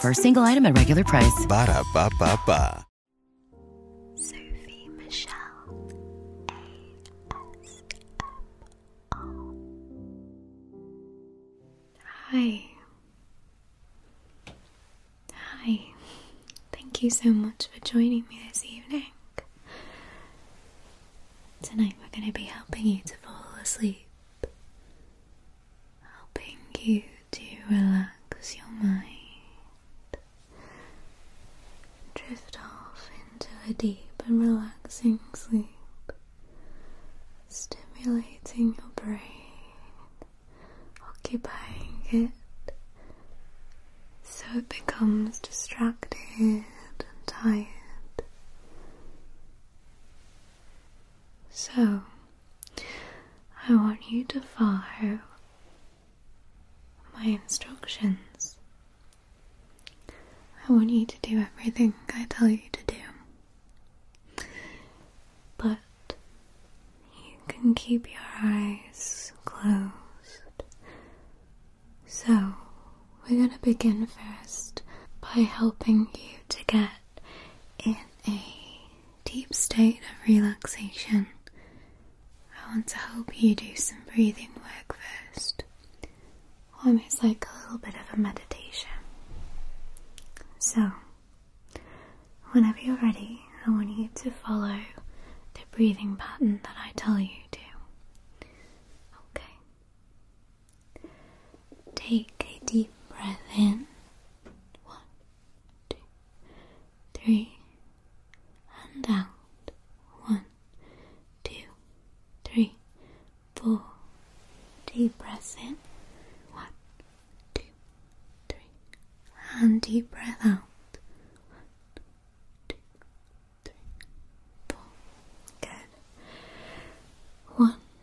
For a single item at regular price. Hi. Hi. Thank you so much for joining me this evening. Tonight we're going to be helping you to fall asleep helping you to relax your mind, drift off into a deep and relaxing sleep, stimulating your brain, occupying it so it becomes distracted and tired. So, I want you to follow my instructions. I want you to do everything I tell you to do. But you can keep your eyes closed. So, we're going to begin first by helping you to get in a deep state of relaxation, I want to help you do some breathing work first, almost like a little bit of a meditation. So, whenever you're ready, I want you to follow the breathing pattern that I tell you to. Okay. Take a deep breath in. One, two, three, and out. One, two, three, four. Deep breath in. One, two, three, and deep breath out. One, two, three, four. Good. One,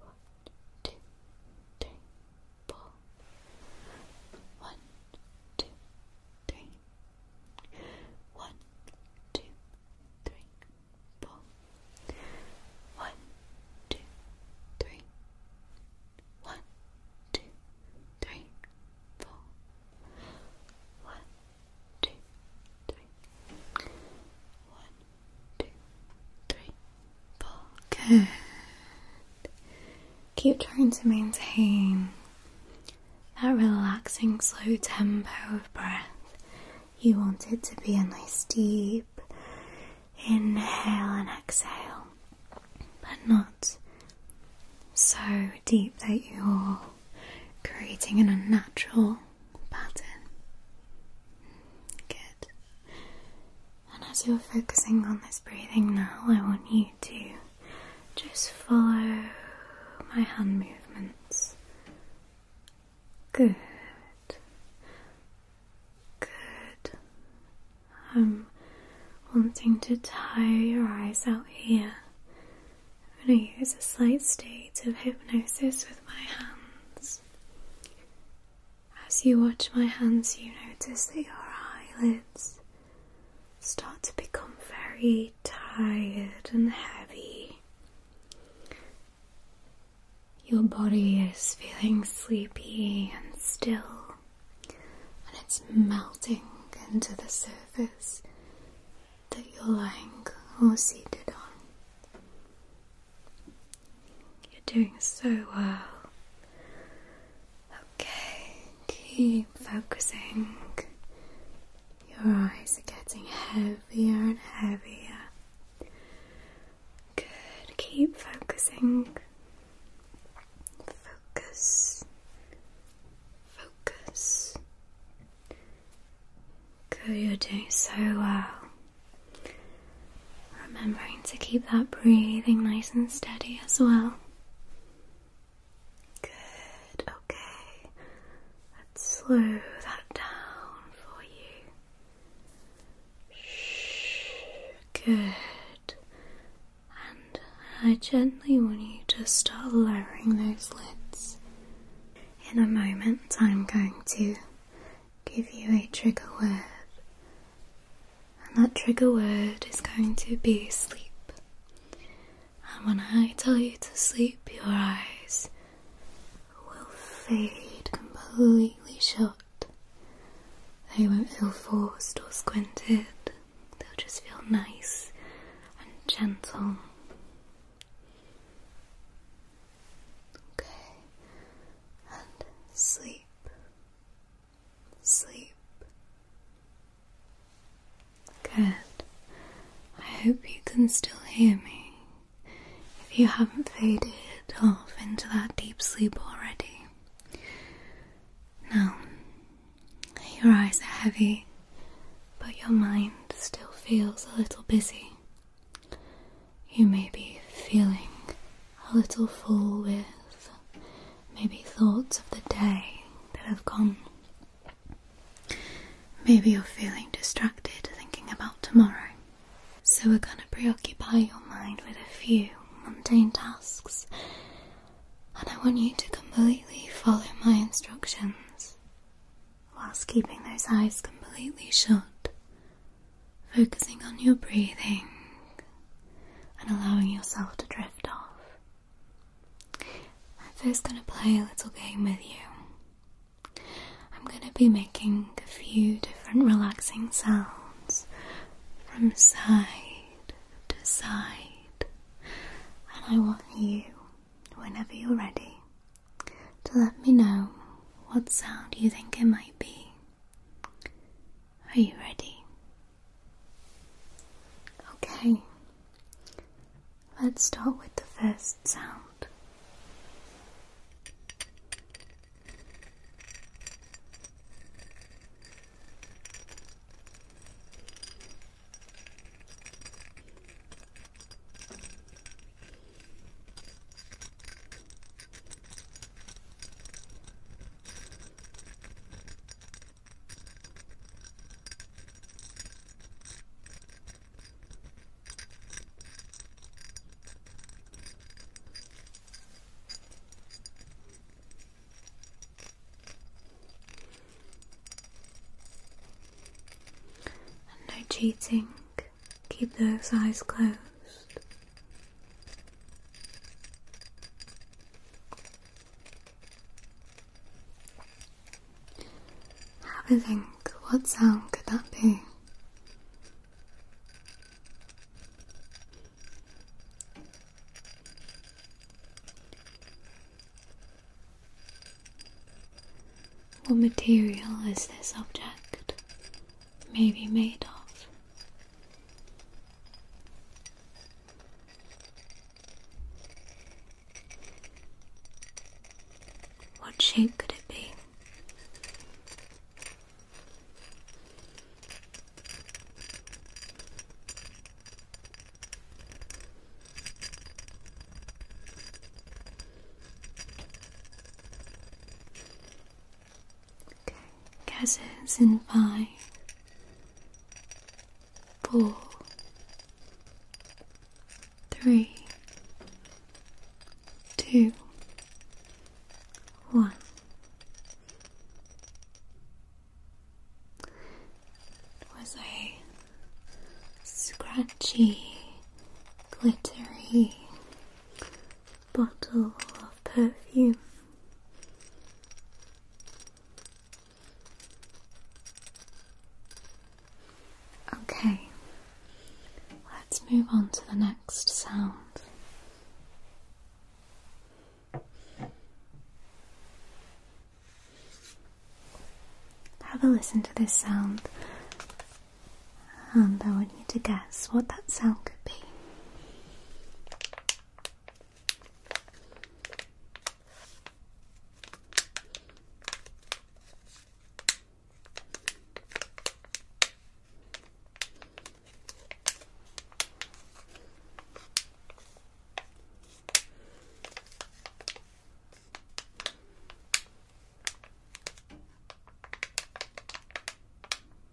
One, two, three, four. One, two, three. One, two, three, four. One, two, three. One, two, three, four. One, two, three. One, two, three, four. Good. Keep trying to maintain that relaxing, slow tempo of breath. You want it to be a nice deep inhale and exhale, but not so deep that you're creating an unnatural pattern. Good. And as you're focusing on this breathing now, I want you to just follow my hand movements. Good. Good. I'm wanting to tire your eyes out here. I'm going to use a slight state of hypnosis with my hands. As you watch my hands, you notice that your eyelids start to become very tired and heavy. Your body is feeling sleepy and still, and it's melting into the surface that you're lying or seated on. You're doing so well. Okay, keep focusing. Your eyes are getting heavier and heavier. Good, keep focusing. Focus. Focus. Good, you're doing so well. Remembering to keep that breathing nice and steady as well. Good, okay. Let's slow that down for you. Shh, good. And I gently want you to start lowering those lids. In a moment, I'm going to give you a trigger word, and that trigger word is going to be sleep. And when I tell you to sleep, your eyes will fade completely shut. They won't feel forced or squinted, they'll just feel nice and gentle. Okay, and sleep, sleep. Good. I hope you can still hear me if you haven't faded off into that deep sleep already. Now, your eyes are heavy, but your mind still feels a little busy. You may be feeling a little full with maybe thoughts of the day that have gone. Maybe you're feeling distracted thinking about tomorrow. So we're going to preoccupy your mind with a few mundane tasks. And I want you to completely follow my instructions whilst keeping those eyes completely shut focusing on your breathing and allowing yourself to drift off. I'm first going to play a little game with you. I'm going to be making a few different relaxing sounds from side to side, and I want you, whenever you're ready, to let me know what sound you think it might be. Are you ready? Okay. Let's start with the first sound no cheating, Keep those eyes closed. Have a think, what sound could that be? What material is this object? Maybe made of. What shape could it be? Guesses in five, four, three, two, one. It was a scratchy, glittery bottle of perfume. Okay, let's move on to the next sound. Have a listen to this sound and I want you to guess what that sound could be.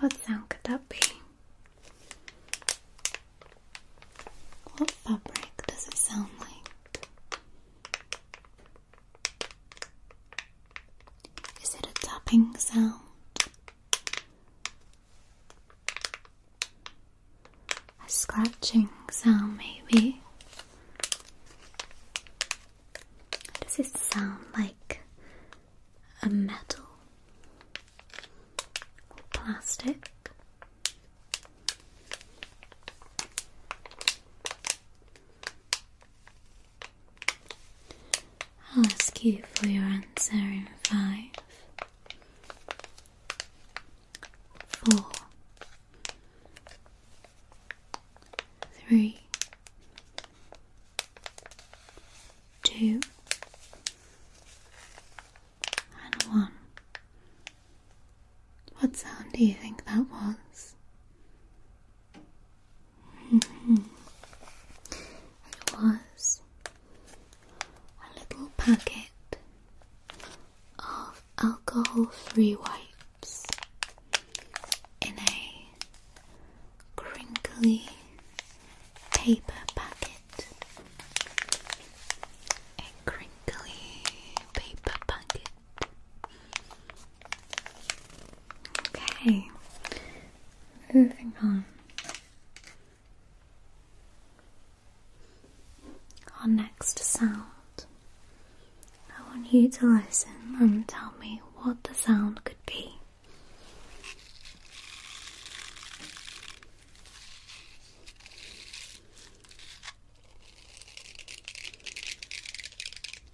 What sound could that be? What fabric does it sound like? Is it a tapping sound? A scratching sound, maybe? Does it sound like a metal or plastic? I'll ask you for your answer in five, four, three, two, and one. What sound do you think that was? Mm-hmm. it was a little packet of alcohol free wipes in a crinkly paper packet. A crinkly paper packet. Okay, moving on. Our next sound. I want you to listen and tell me what the sound could be.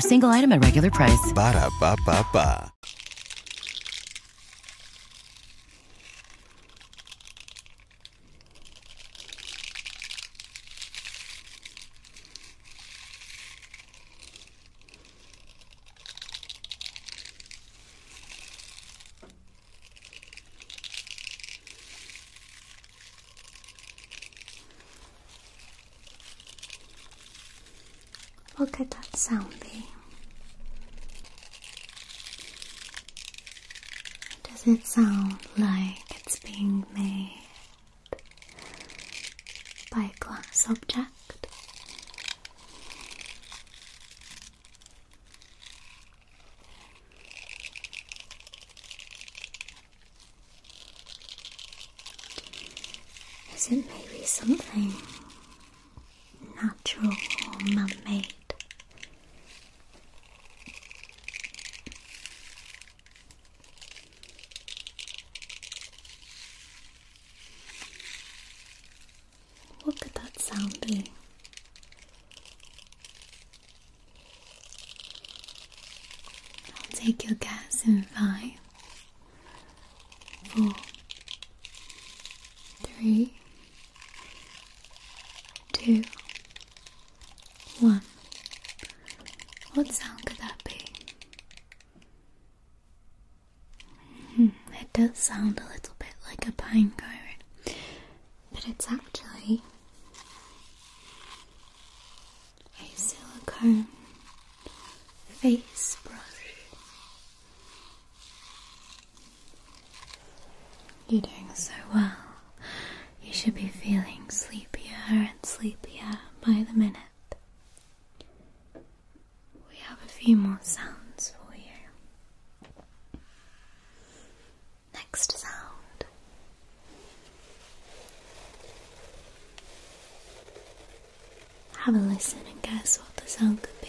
single item at regular price. Look at that sound beam. Does it sound like it's being made by a glass object? Is it maybe something natural or man made? What could that sound be? I'll take your gas in five, four, three, two, one. What sound could that be? Hmm, it does sound a little bit like a pine cone, but it's actually a silicone face brush. You're doing so well. You should be feeling sleepier and sleepier by the minute. We have a few more sounds for you. Next sound have a listen and guess what the sound could be.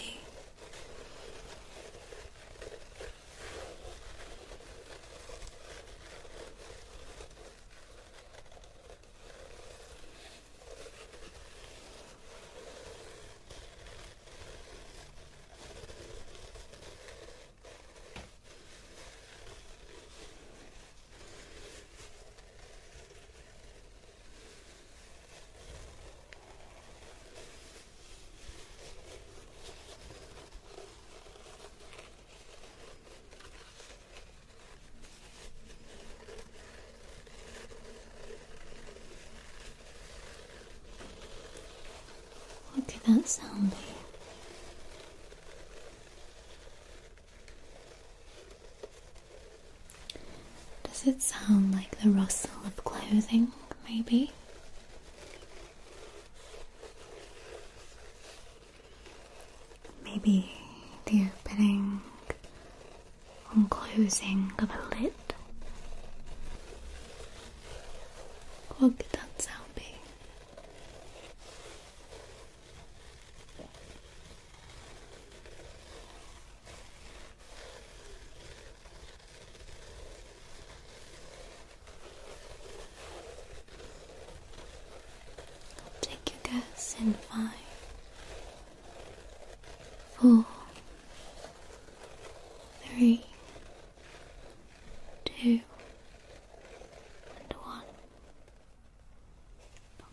What at that sound. Does it sound like the rustle of clothing, maybe? Maybe the opening and closing of a lid? What could that sound be? I'll take your guess in five, four, three, two, and one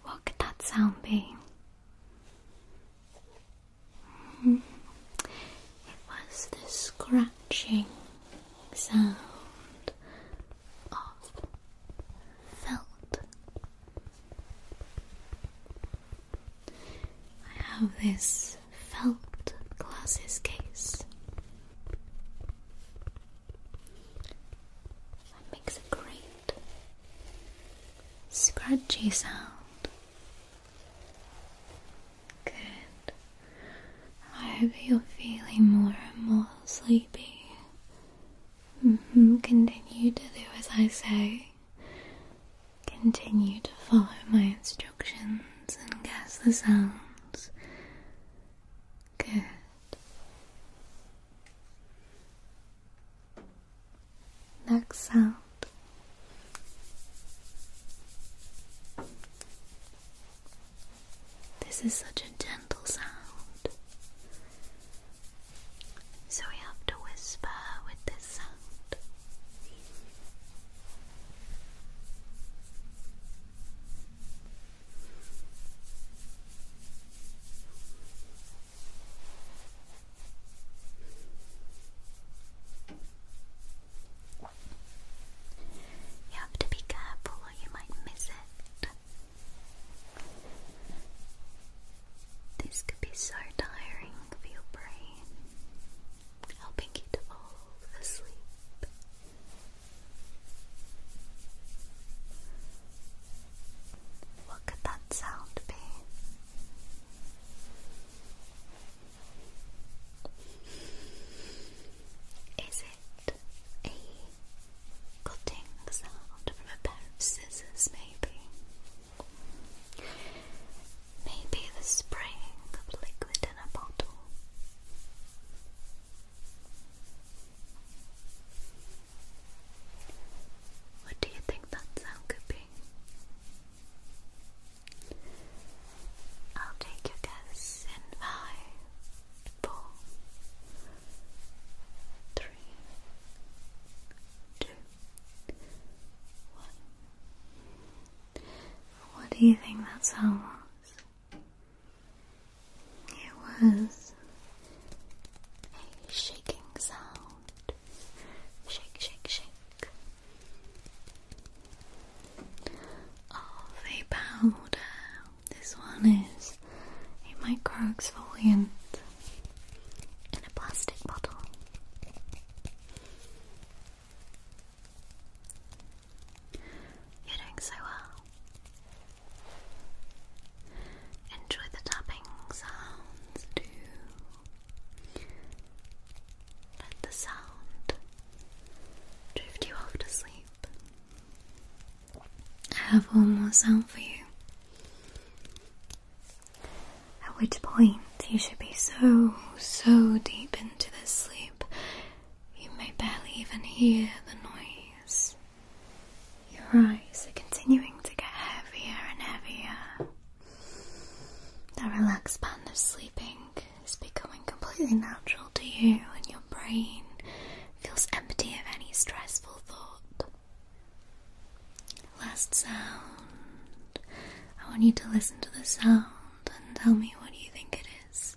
what could that sound be? Hmm. It was the scratching sound of felt. I have this felt glasses case. That makes a great scratchy sound. Good. I hope you're feeling more and more sleepy. Mm-hmm. Continue to do as I say. Continue to follow my instructions and guess the sounds. Good. Next sound. This is such a gentle sound. So we have to whisper with this sound. You have to be careful or you might miss it. This could be so tiring for your brain, helping you to fall asleep. What could that sound be? Is it a cutting sound from a pair of scissors, maybe? Maybe the spraying of liquid in a bottle. What do you think that sound could be? I'll take your guess in five, four, three, two, one. What do you think that sound was? It was a shaking sound. Shake, shake, shake. Of a powder. This one is a micro exfoliant in a plastic bottle. You're doing so well. Enjoy the tapping sounds Let the sound drift you off to sleep. I have one more sound for you. At which point you should be so, so deep into this sleep you may barely even hear the noise. Your eyes are continuing to get heavier and heavier. That relaxed pattern of sleeping is becoming completely natural to you, and your brain feels empty of any stressful thought. Last sound. I want you to listen to the sound and tell me what you think it is.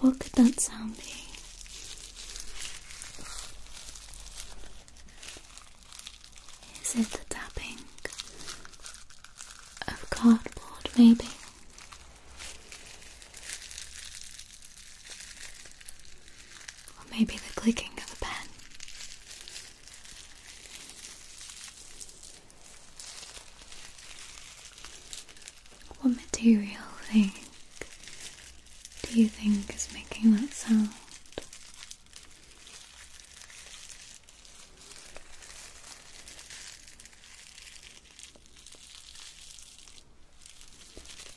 What could that sound be? Is it the tapping of cardboard, maybe? Or maybe the clicking of a pen? What material thing do you think is making that sound?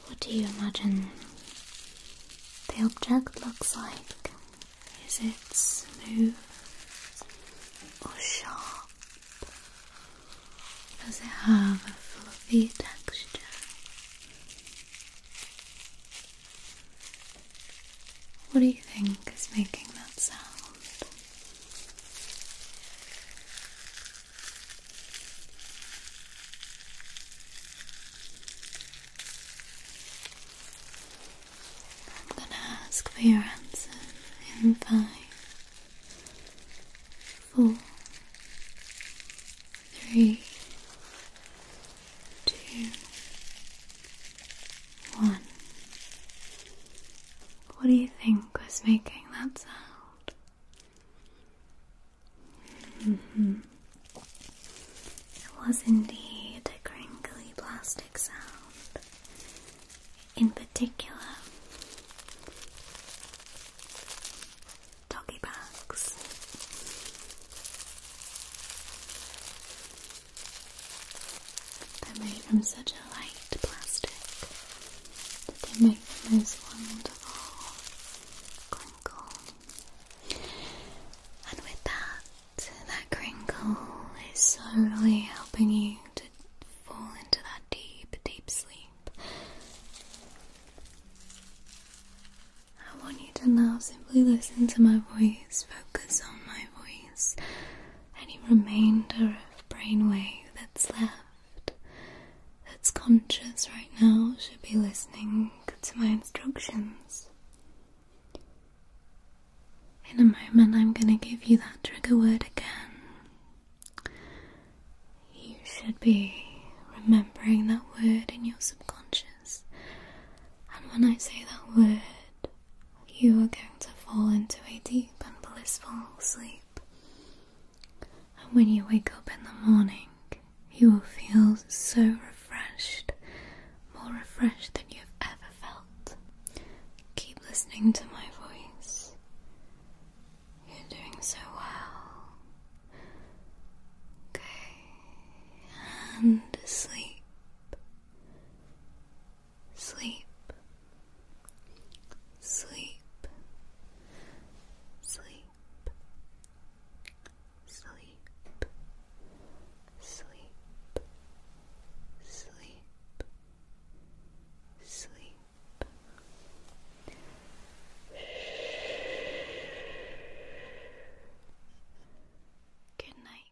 What do you imagine the object looks like? Is it smooth or sharp? Does it have a fluffy texture? What do you think is making that sound? i ask for your answer in five, four, three, two, one. What do you think was making that sound? Mm-hmm. It was indeed a crinkly plastic sound. In particular, doggy bags. They're made from such a light plastic that they make the most wonderful crinkle. And with that, that crinkle is slowly helping you to fall into that deep, deep sleep. I want you to now simply listen to my voice, focus on my voice any remainder of brainwave that's left, that's conscious right now, should be listening to my instructions. In a moment, I'm going to give you that trigger word again. You should be remembering that word in your subconscious. And when I say that word, you are going to fall into a deep and blissful sleep. And when you wake up in the morning, you will feel so refreshed, more refreshed than you've ever felt. Keep listening to my voice. You're doing so well. Okay, and sleep. Sleep, sleep, sleep, sleep, sleep, sleep, sleep. Good night.